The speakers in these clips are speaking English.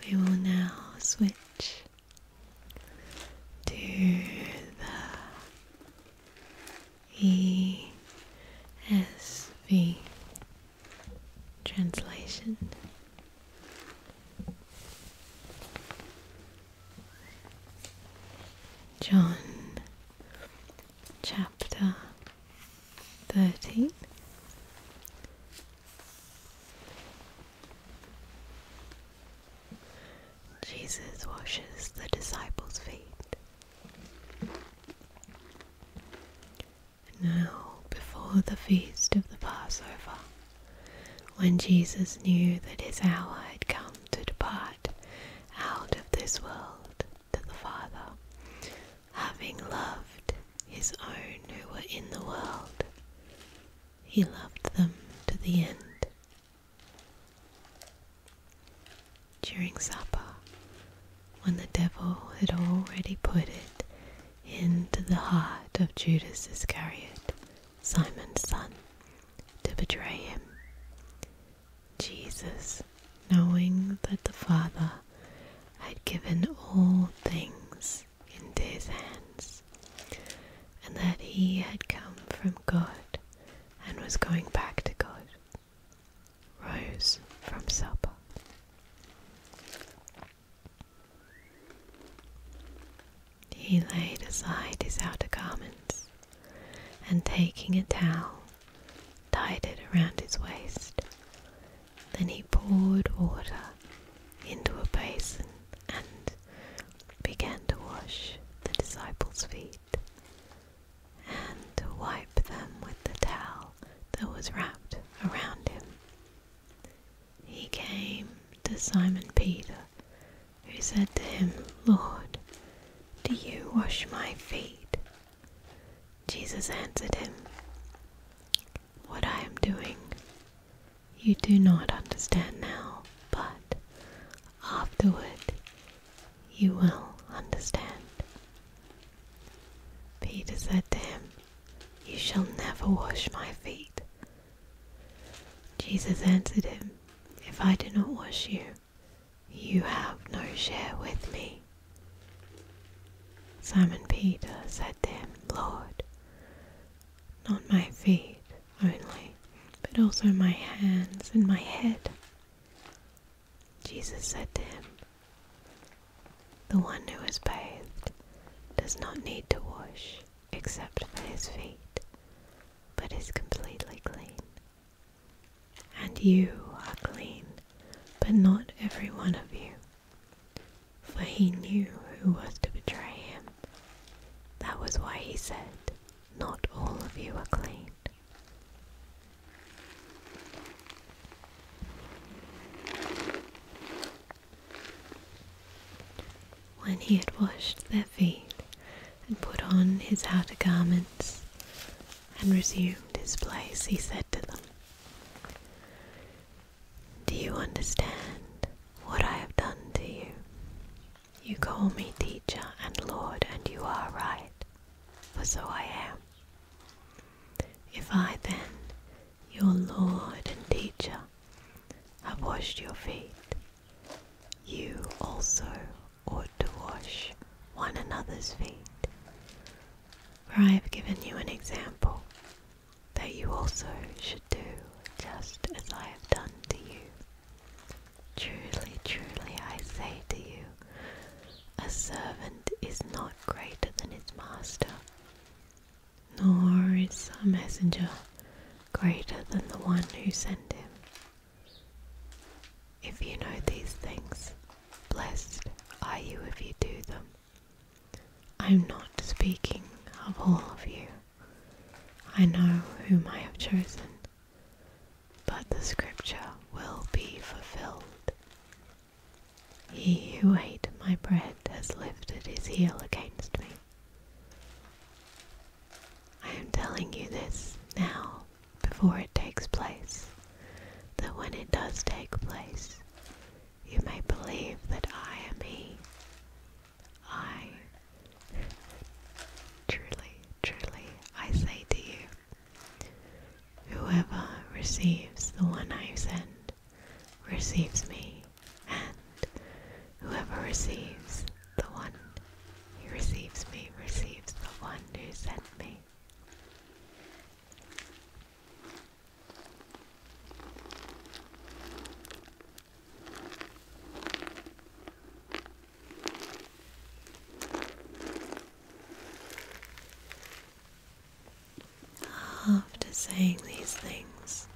We will now switch to the ESV translation. John chapter thirteen, Jesus washes the disciples' feet. Now, before the feast of the Passover, when Jesus knew that his hour had come to depart out of this world to the Father, having loved his own who were in the world, he loved them to the end. During supper, when the devil had already put it into the heart of Judas Iscariot, Simon's son, to betray him, Jesus knowing that the Father had given all things into his hands, and that he had come from God and was going back to God, rose from supper. He laid aside his outer garments, and taking a towel, tied it around his waist, then he poured water into a basin and began to wash the disciples' feet and to wipe them with the towel that was wrapped around him. He came to Simon Peter, who said to him, Lord, do you wash my feet? Jesus answered him, What I am doing you do not understand now, but afterward you will understand. Peter said to him, You shall never wash my feet. Jesus answered him, If I do not wash you, you have no share with me. Simon Peter said to him, Lord, not my feet only, but also my hands and my head. Jesus said to him, The one who is bathed does not need to wash except for his feet, but is completely clean. And you are clean but not every one of you. For he knew who was to betray him. That was why he said, Not all of you are clean. When he had washed their feet and put on his outer garments and resumed his place, he said to them, do you understand what I have done to you? You call me teacher and Lord, and you are right, for so I am. If I then, your Lord and teacher, have washed your feet, you also ought to wash one another's feet. For I have given you an example that you also should do just as I have done to you. Truly, truly, I say to you, a servant is not greater than his master, nor is a messenger greater than the one who sent him. If you know these things, blessed are you if you do them. I'm not speaking of all of you. I know whom I have chosen, but the scripture will be fulfilled. He who ate my bread has lifted his heel against me. I am telling you this now before it takes place, that when it does take place, you may believe that I am He. I truly, truly, I say to you, whoever receives the one I send receives me, and whoever receives the one who receives me receives the one who sent me. After saying these things,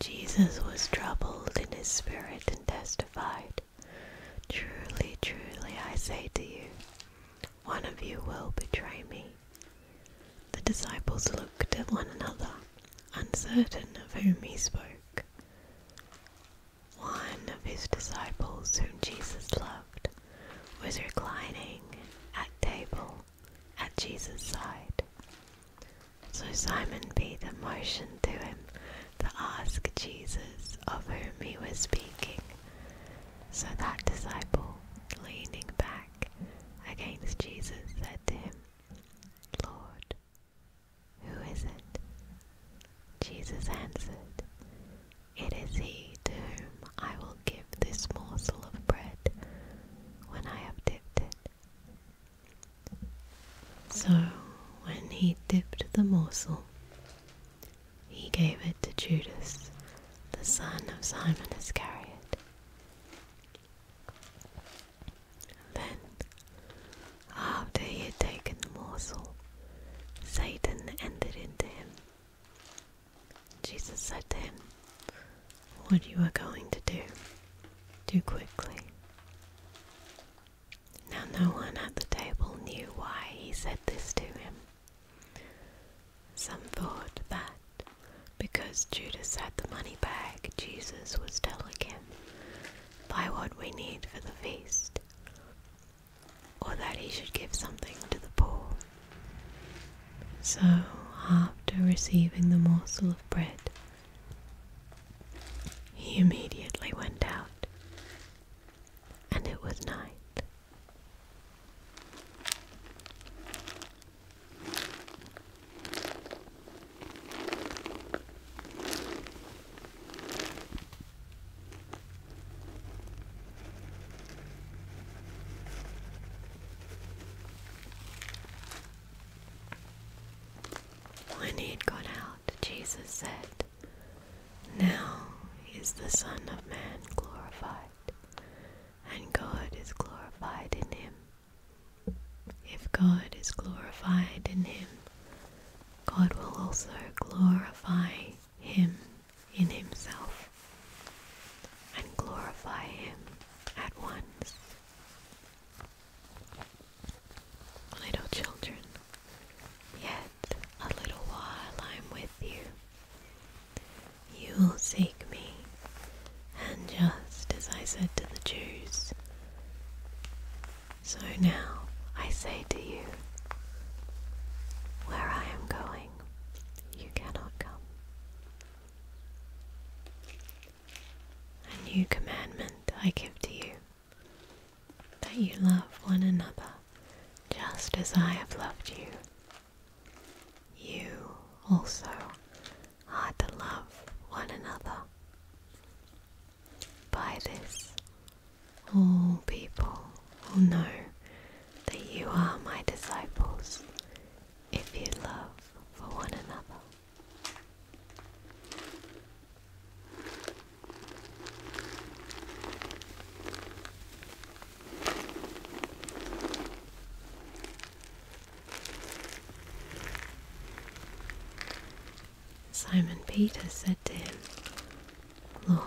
Jesus was troubled in his spirit and testified, Truly, truly, I say to you, one of you will betray me. The disciples looked at one another, uncertain of whom he spoke. One of his disciples, whom Jesus loved, was reclining at table at Jesus' side. So Simon Peter motioned to him to ask Jesus of whom he was speaking, so that disciple, leaning back against Jesus, said to him, Lord, who is it? Jesus answered, It is he to whom I will give this morsel of bread when I have dipped it. So when he dipped the morsel, he gave it to Judas, the son of Simon Iscariot. Then, after he had taken the morsel, Satan entered into him. Jesus said to him, What you are going to do, do quickly. Now, no one at the table knew why he said this to him. Some thought that because Judas had the money bag, Jesus was telling him, Buy what we need for the feast, or that he should give something to the poor. So, after receiving the morsel of bread, he immediately went out, and it was night. When he'd gone out, Jesus said, Now is the Son of Man glorified, and God is glorified in him. If God is glorified in him, God will also glorify him in himself and glorify him at once. Little children, yet a little while I am with you. You will seek me, and just as I said to the Jews, so now I say to you, where I am going, you cannot come. A new commandment I give to you, that you love one another just as I have loved you you also are to love one another. By this, all people will know that you are my disciples if you love for one another. Simon Peter said to him, Lord,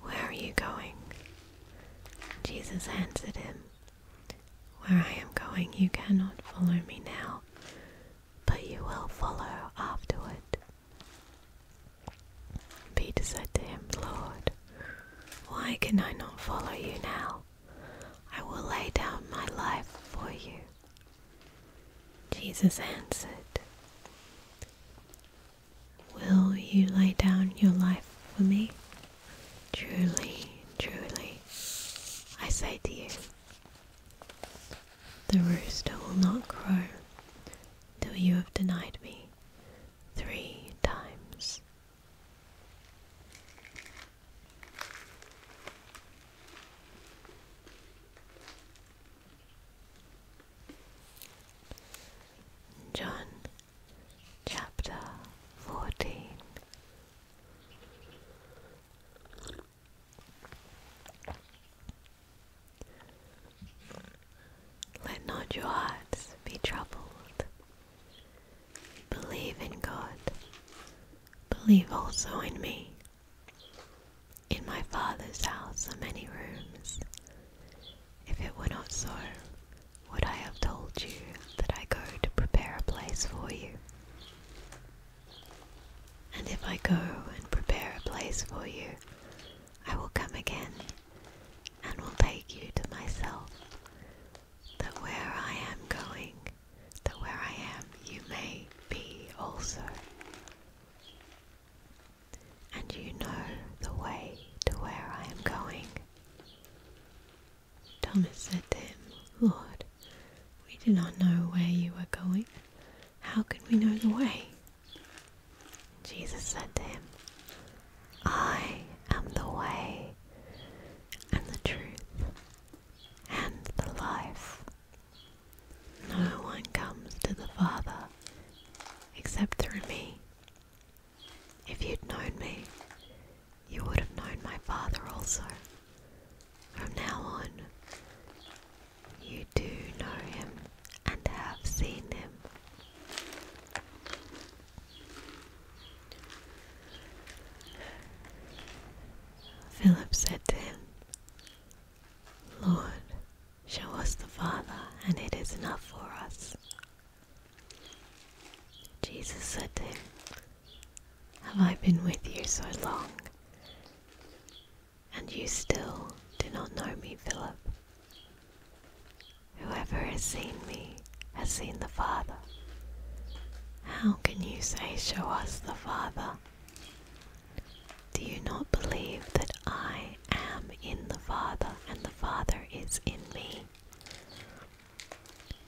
where are you going? Jesus answered him, Where I am going, you cannot follow me now, but you will follow afterward. Peter said to him, Lord, why can I not follow you now? I will lay down my life for you. Jesus answered, Will you lay down your life for me? Truly, truly, I say to you, the rooster will not crow till you have denied me three times. John chapter 14 let not your hearts be troubled. Believe in God. Believe also in me. In my Father's house are many rooms. If it were not so, would I have told you that I go to prepare a place for you? And if I go and prepare a place for you, I will come again and will take you to myself, that where I am going, that where I am you may be also. And you know the way to where I am going. Thomas said to him, Lord, we do not know where you are going. How can we know the way? Jesus said to him, I am the way and the truth and the life. No one comes to the Father except through me. If you'd known me, you would have known my Father also. From now on, you do know him and have seen him. Philip said to him, Lord, show us the Father, and it is enough for us. Jesus said to him, Have I been with you so long? And you still do not know me, Philip. Whoever has seen me has seen the Father. How can you say, Show us the Father? Do you not believe that I am in the Father and the Father is in me?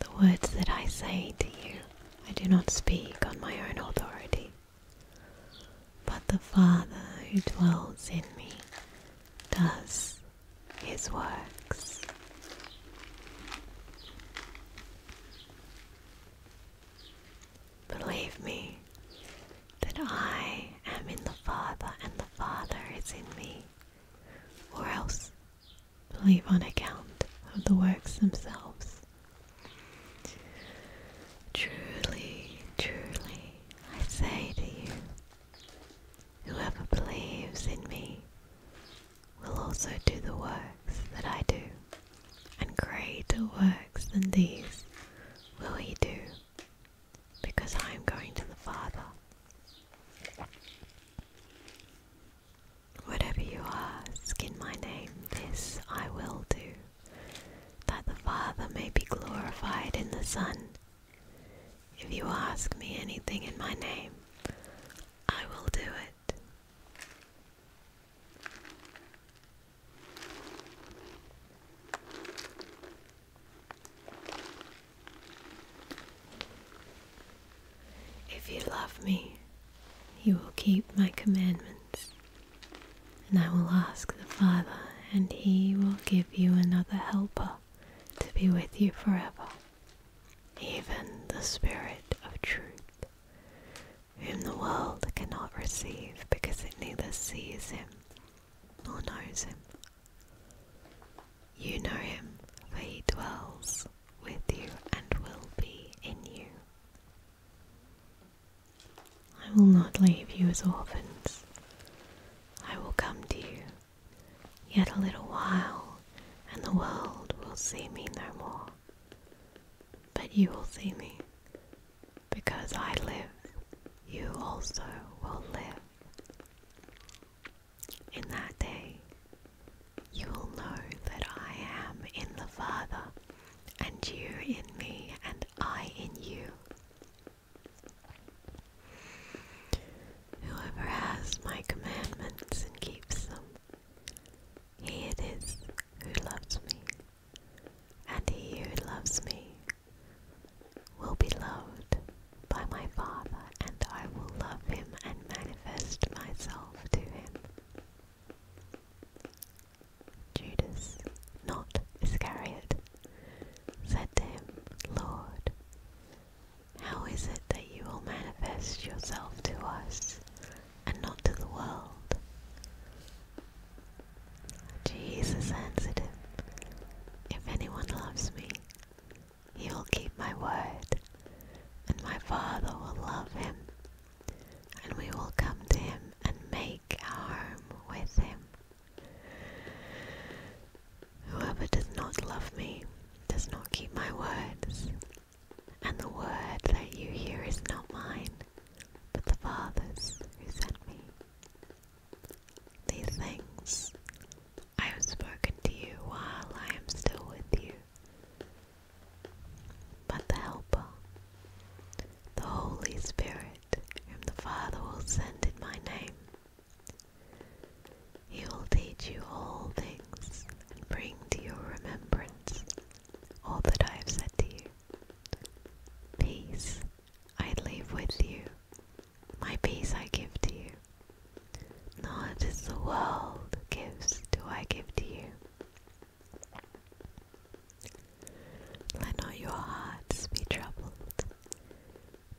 The words that I say to you, I do not speak on my own authority, but the Father who dwells in me does his works. Believe me that I am in the Father and the Father is in me, or else believe on account of the works themselves. Truly, truly, I say to you, Whoever believes in me will also do the works that I do, and greater works than these will he do, because I am going to the Father. Whatever you ask in my name, this I will do, that the Father may be glorified in the Son. If you ask me anything in my name, I will do it. If you love me, you will keep my commandments, and I will ask the Father, and he will give you another helper to be with you forever even the Spirit of truth, whom the world cannot receive because it neither sees him nor knows him. You know him, for he dwells with you and will be in you. I will not leave you as orphans. I will come to you. Yet a little while, and the world will see me no more. But you will see me. Because I live, you also will live. In that day, you will know that I am in the Father, and you in me, and I in you. Whoever has my commandments and keeps them, he it is who loves me, and he who loves me will be loved by my Father, and I will love him and manifest myself to him. Judas, not Iscariot, said to him, Lord, how is it that you will manifest yourself to us and not to the world? Jesus answered him, If anyone loves me, he will keep my word, and my Father will love him, and we will come to him and make our home with him. Whoever does not love me does not keep my words, and the word that you hear is not mine, but the Father's who sent me. These things I have spoken to you while I am still with you. But the Helper, the Holy Spirit, whom the Father will send in my name, he will teach you all things and bring to your remembrance all that I have said to you. Peace I leave with you, my peace I give to you. Not as the world gives, do I give to you. Let not your hearts be troubled,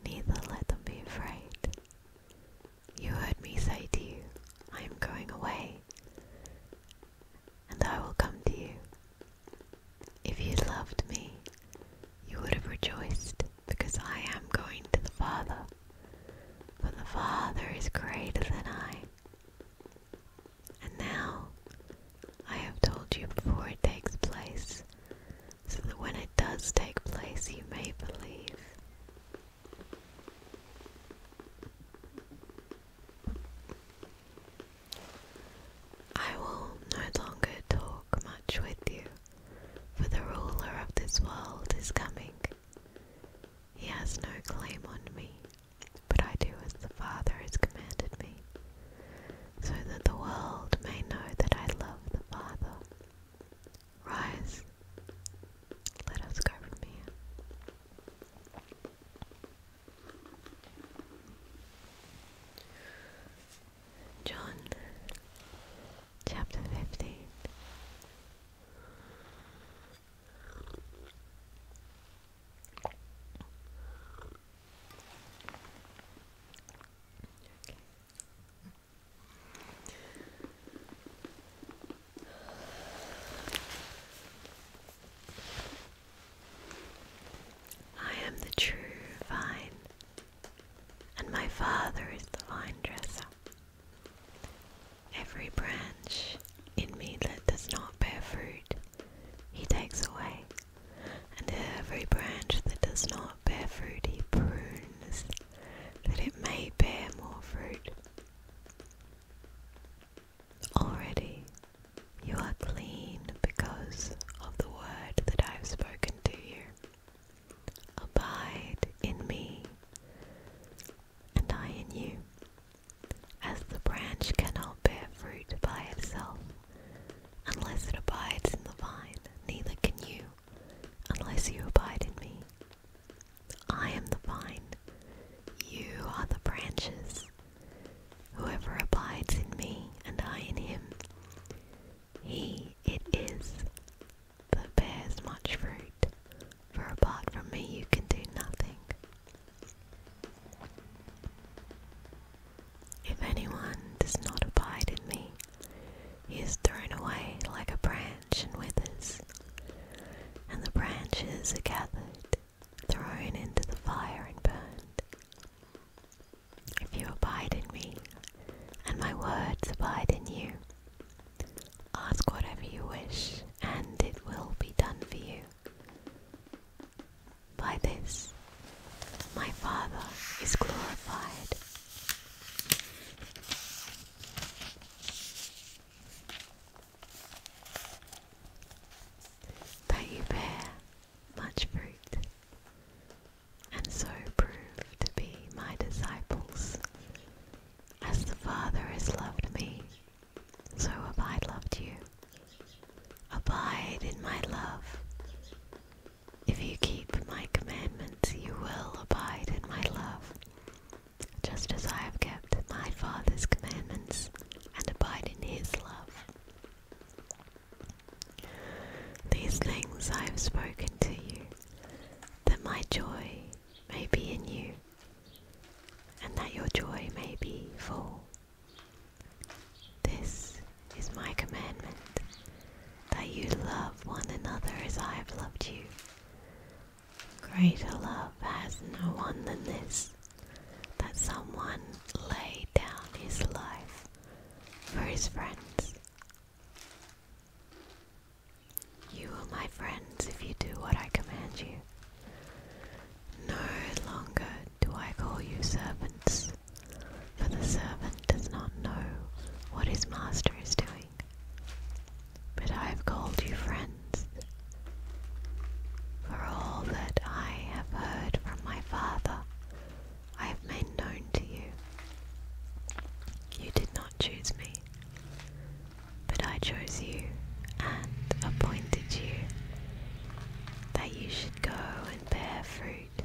neither let them be afraid. You heard me say to you, I am going away, and I will come to you. If you loved me, you would have rejoiced, because I am going to the Father, for the Father is greater than I. And now I have told you before it takes place, so that when it does take place, you may believe. I will no longer talk much with you, for the ruler of this world is coming. He has no claim on me, but I do as the Father has commanded me, so that the world may know that I love the Father. Rise, let us go from here. John chapter 15 I am the true vine, and my Father is the vine dresser. Every branch in me that does not bear fruit, he takes away, and every branch that does not bear fruity prunes, that it may bear more fruit. Already you are clean because of the word that I have spoken to you. Abide in me, and I in you. As the branch cannot bear fruit by itself unless it abides in the vine, neither can you unless you abide in me. I am the vine, you are the branches. Whoever abides in me and I in him, he it is that bears much fruit, for apart from me you can do nothing. If anyone does not abide in me, he is thrown away like a branch and withers, and the branches are gathered, thrown into the fire, and burned. If you abide in me, and my words abide in you, ask whatever you wish, and it will be done for you. By this, my Father is glorified. That you bear much fruit, and so prove to be my disciples. As the Father has loved me, so have I loved you. Abide in my love. If you keep my commandments, you will abide in my love, just as I have kept my Father's commandments and abide in his love. These things I have spoken to you, that my joy may be in you, and that your joy may be full. This is my commandment, that you love one another as I have loved you. Greater love has no one than this, that someone lay down his life for his friends. You are my friends if you do what I command you. No longer do I call you servants, for the servant does not know what his master is doing but I have called you friends. For all that I have heard from my father, I have made known to you. You did not choose me, but I chose you and appointed you that you should go and bear fruit,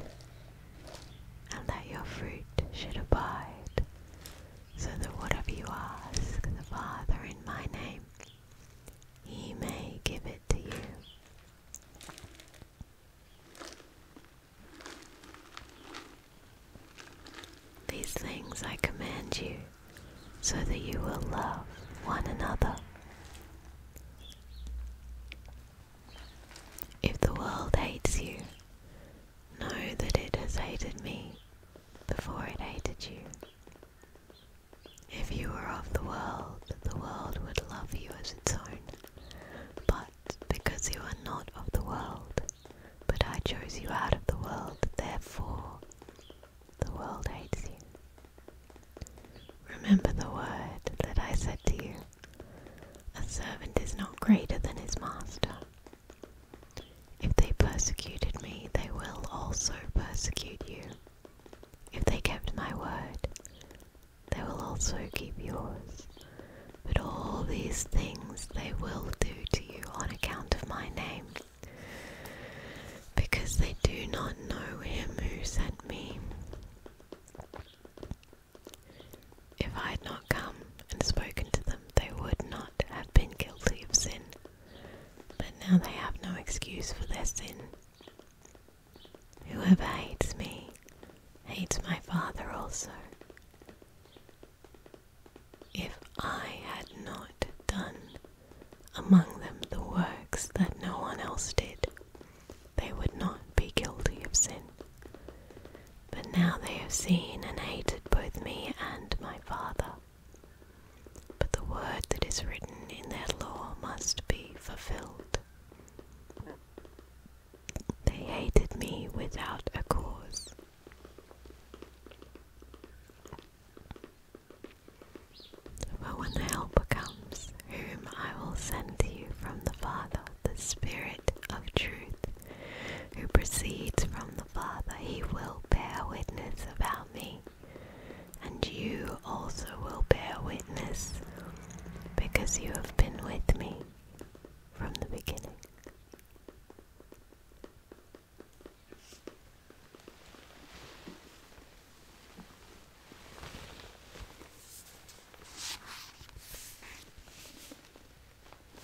and that your fruit should abide, so that whatever you ask the Father in my name, he may give it to you. These things I command you, so that you will love one another. If the world hates you, Know that it has hated me before it hated you. If you were of the world, the world would love you as its own. But because you are not of the world, but I chose you out of the world, therefore the world hates you. Remember the word that I said to you a servant is not greater than his master. If they persecuted me, they will also persecute you. If they kept my word, they will also keep yours. But all these things they will do to you on account of my name, because they do not know him who sent me. If I had not come and spoken to them, they would not have been guilty of sin. But now they have no excuse for their sin. Whoever hates me hates my Father also. If I had not done among them the works that no one else did, they would not be guilty of sin. But now they have seen and hated both me and my Father. But the word that is written in their law must be fulfilled. They hated me without a cause. But when the Helper comes, whom I will send to you from the Father, the Spirit of truth, who proceeds from Father, he will bear witness about me. And you also will bear witness, because you have been with me from the beginning.